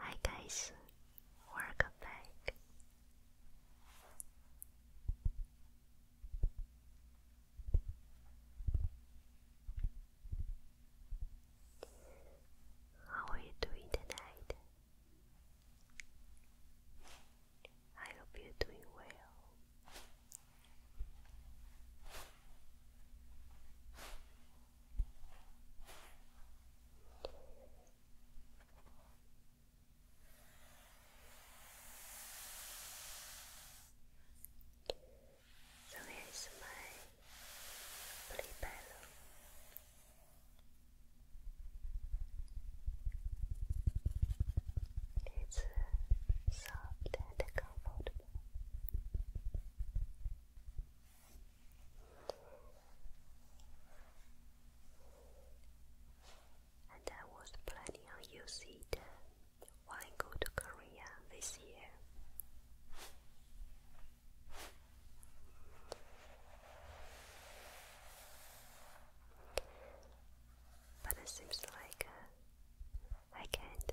Hi guys, welcome back. How are you doing tonight? I hope you're doing well. So here is my pillow. It's soft and and I was planning on using it when I go to Korea this year but it seems like uh, I can't.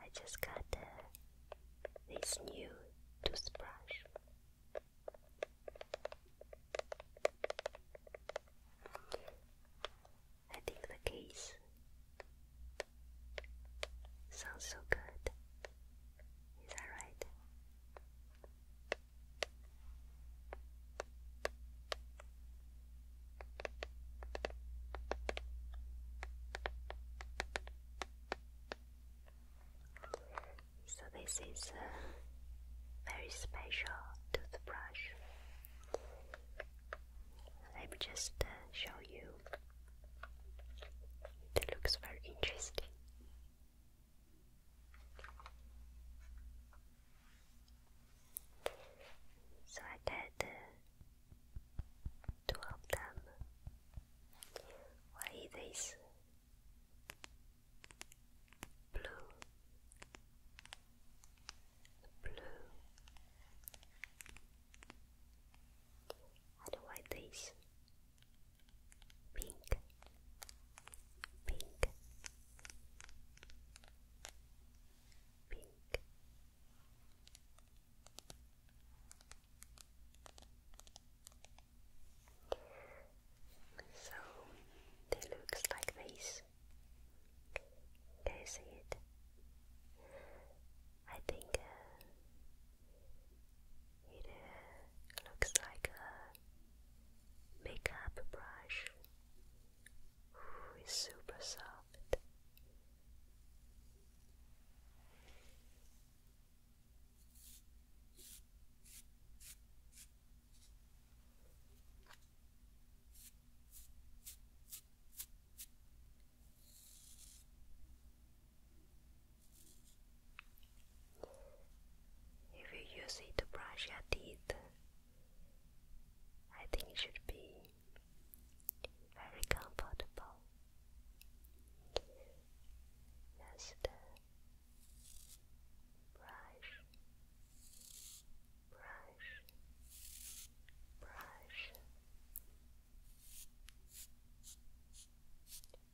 I just got this new toothbrush. I think the case sounds so good. Is that right? So this is a very special toothbrush. Let me just uh, show you. It looks very interesting. So I did two of them. Why this blue, blue, and why this pink, pink? pink. So they looks like this. Can you see it? I think uh, it uh, looks like a makeup brush Ooh, it's super soft. If you use it to brush your teeth, I think it should be very comfortable. Yes, the brush, brush, brush,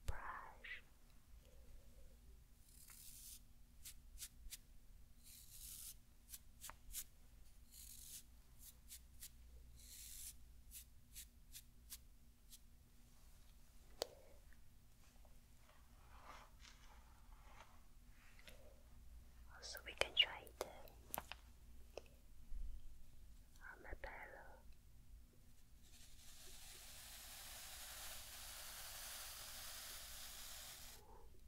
brush, also, we can try the uh, armadillo. Um,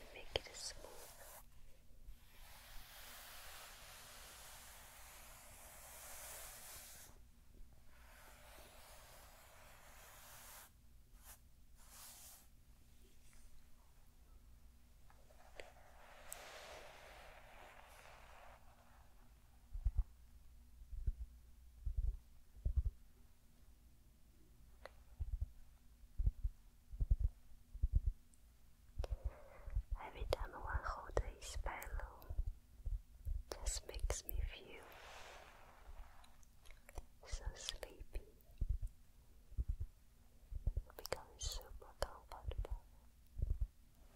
and make it as smooth Every time one holds his pillow, just makes me feel so sleepy. Becoming super comfortable.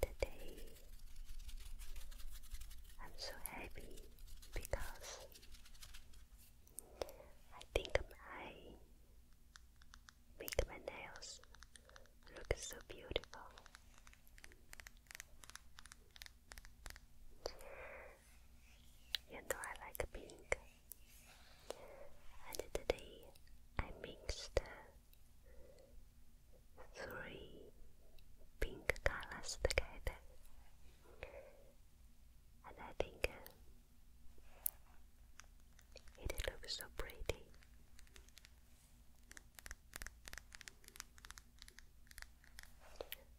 today I'm so happy because I think I make my nails look so beautiful. You know I like pink. And today I mixed three pink colors together. And I think uh, it looks so pretty.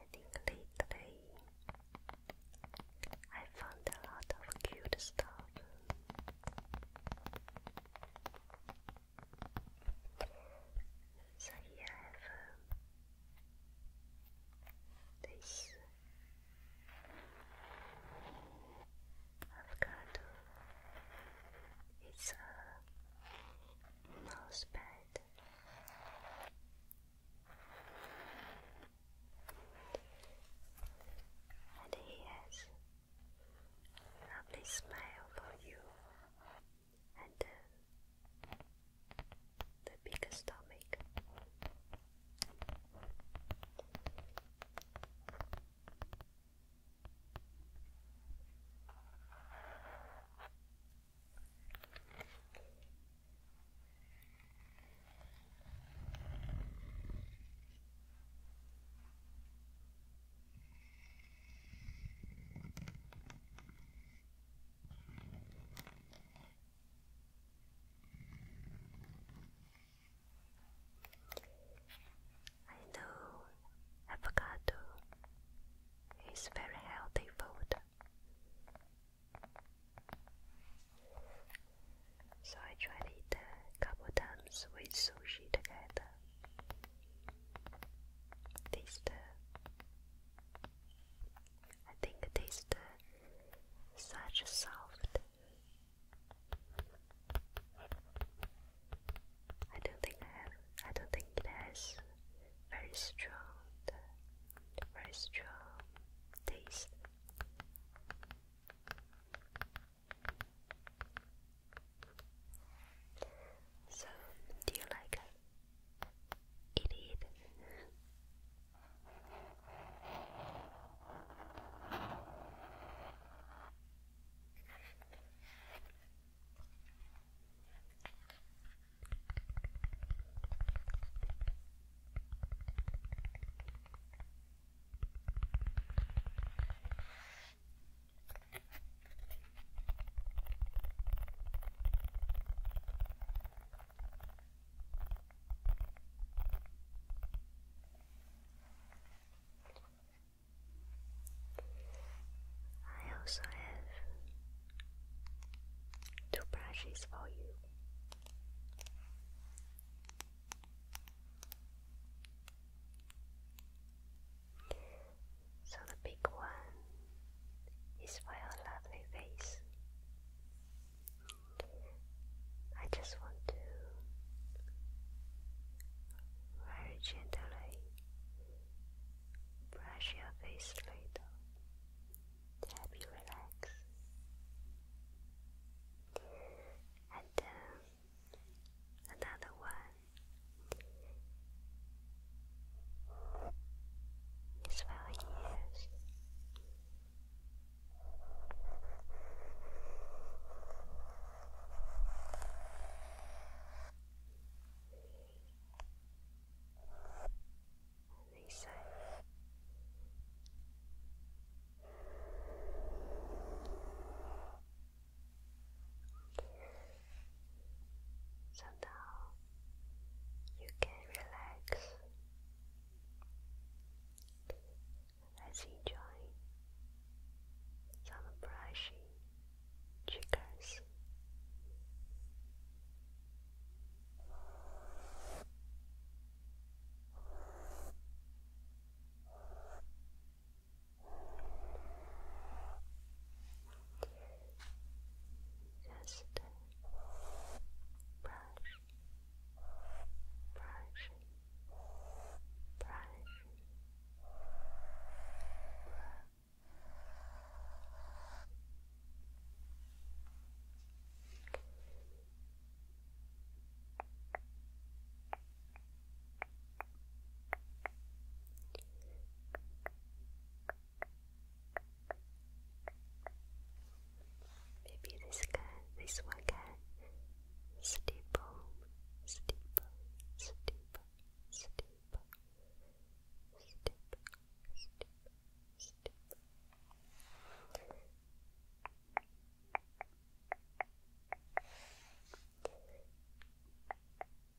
I think lately I found a lot of cute stuff. So I have um, this avocado is a mouse pad and he has lovely smile for you and uh, the bigger stomach. I know avocado is very healthy food. So I tried eat a couple times with sushi together. Taste I think it is the such soft. I don't think I have. I don't think it has very strong, very strong taste. So, do you like it? It is. I also have two brushes for you. So the big one is for your lovely face. I just want to very gently brush your face a little to help you relax. And uh, another one his value is. And they say so now you can relax. let enjoy some brushing triggers. Just brush, brush, brush. Brush, Maybe this guy, this one guy. Steeple, steeple, steeple, steeple, steeple, steeple, steeple. And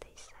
they said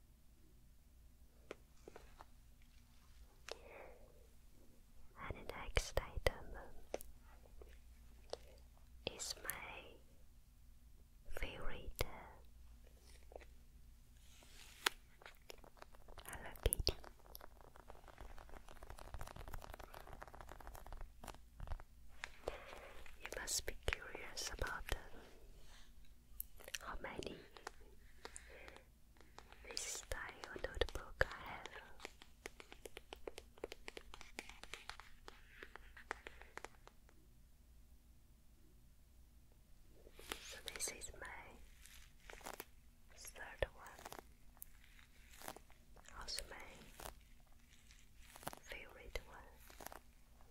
And the next item is my favorite Hello Kitty. You must be curious about uh, how many this style notebook I have. So this is my third one. Also my favorite one.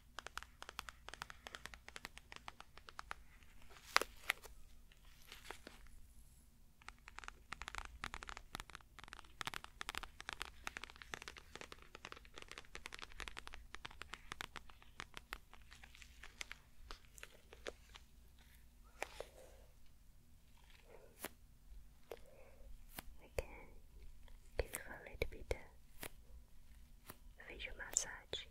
Again, give you a little bit facial massage.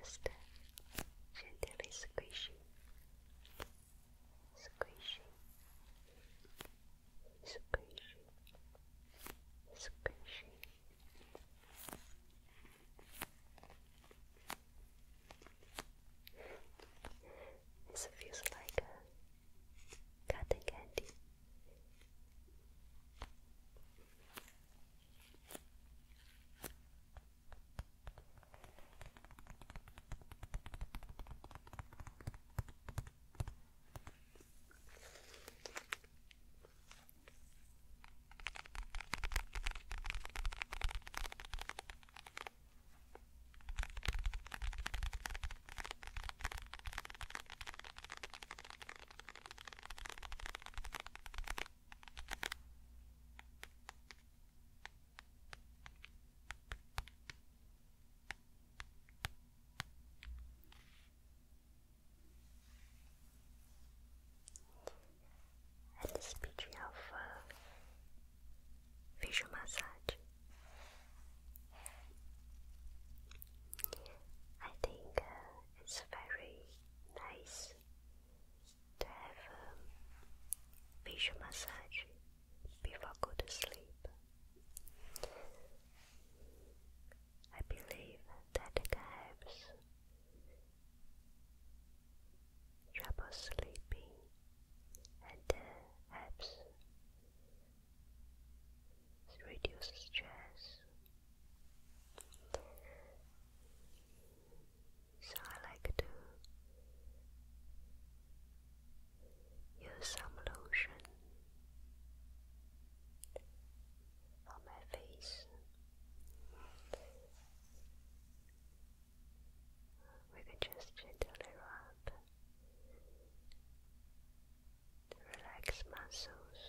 Just uh, squishing, squishing, squishing, squishing. This feels like cotton candy. And the speech of uh, facial massage. I think uh, it's very nice to have um, facial massage before go to sleep. I believe that it helps trouble sleeping and uh, helps it reduces stress. So I like to use some lotion on my face we can just gently rub Relax muscles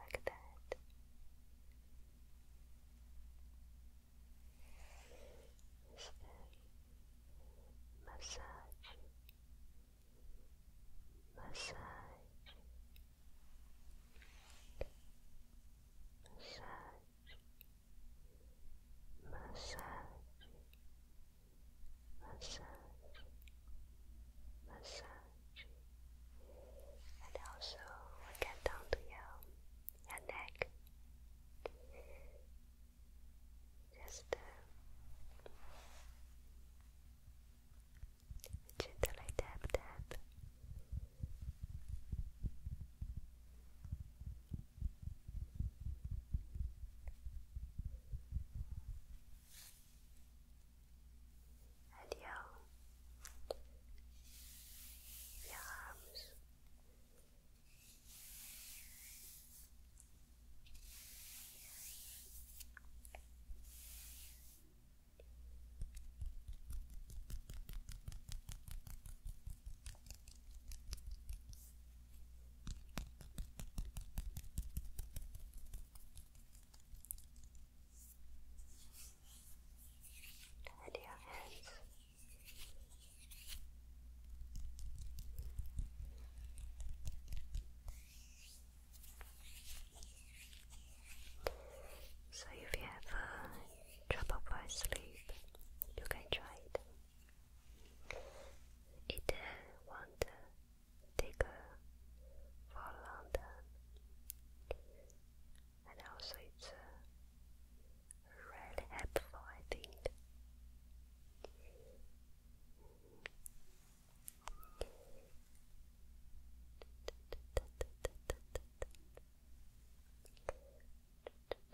like that. Is massage, massage, massage massage, massage, massage, and also we get down to your, neck. Just gently tap, tap and your, let your hands so if you have trouble for sleep, you can try it. It's won't take for a and also it's really helpful, I think.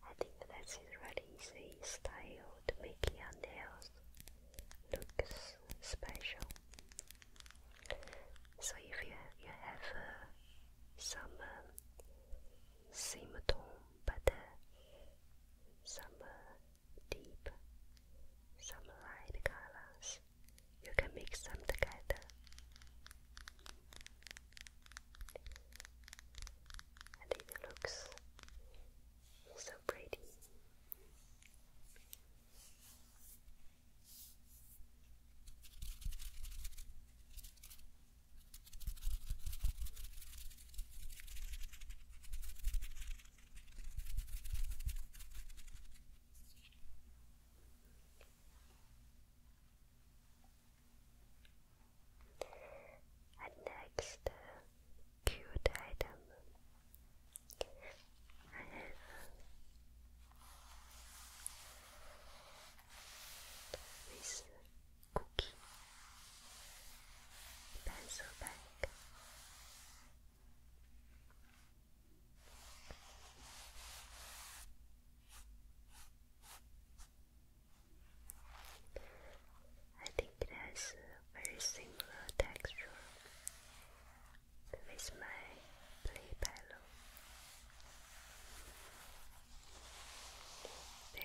I think that's a really easy style to make your nails look special. So if you you have uh, some um, but some uh, deep, some light colors. You can mix them together. And it looks so pretty. And next uh, cute item I have this cookie, pencil bag, I think it has a very similar texture with my pillow. They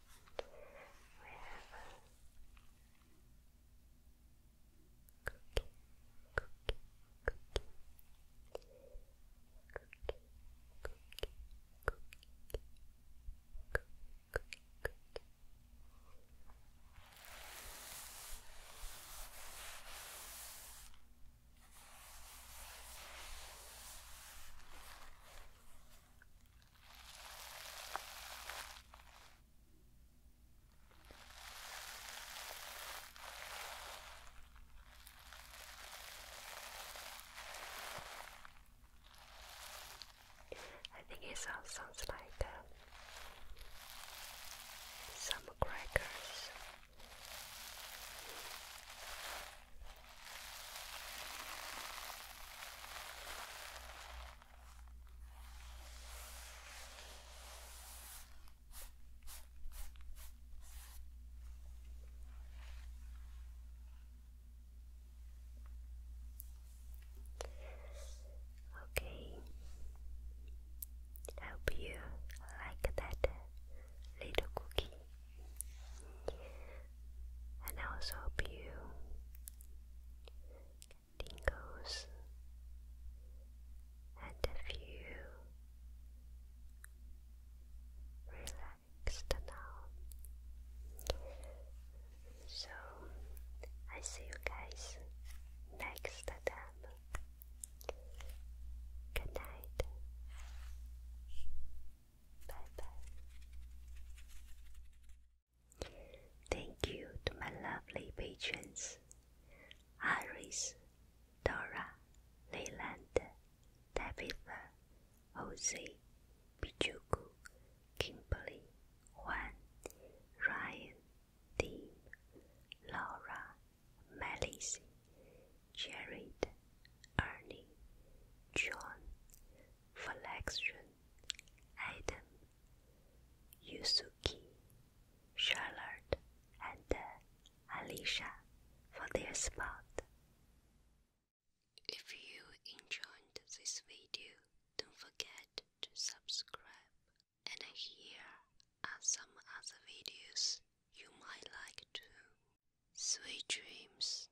We have a cookie, cookie, cookie, cookie, cookie, cookie, cookie, cookie. Cookie, I think it sounds, sounds like uh, some crackers. Okay, hope you like that little cookie. And I also hope you get tingles and feel relaxed now. So I see you guys next time. Good night. Bye bye. Thank you to my lovely patrons Iris, Dora, Leyland, Tabitha, Jose, Pichuku, Kimberly, Juan, Ryan, Dean, Laura, Melissa, Jared, Ernie, John, Flexion Adam, Yusuke, Charlotte, and uh, Alicia for their spot. If you enjoyed this video, don't forget to subscribe. And here are some other videos you might like too. Sweet dreams.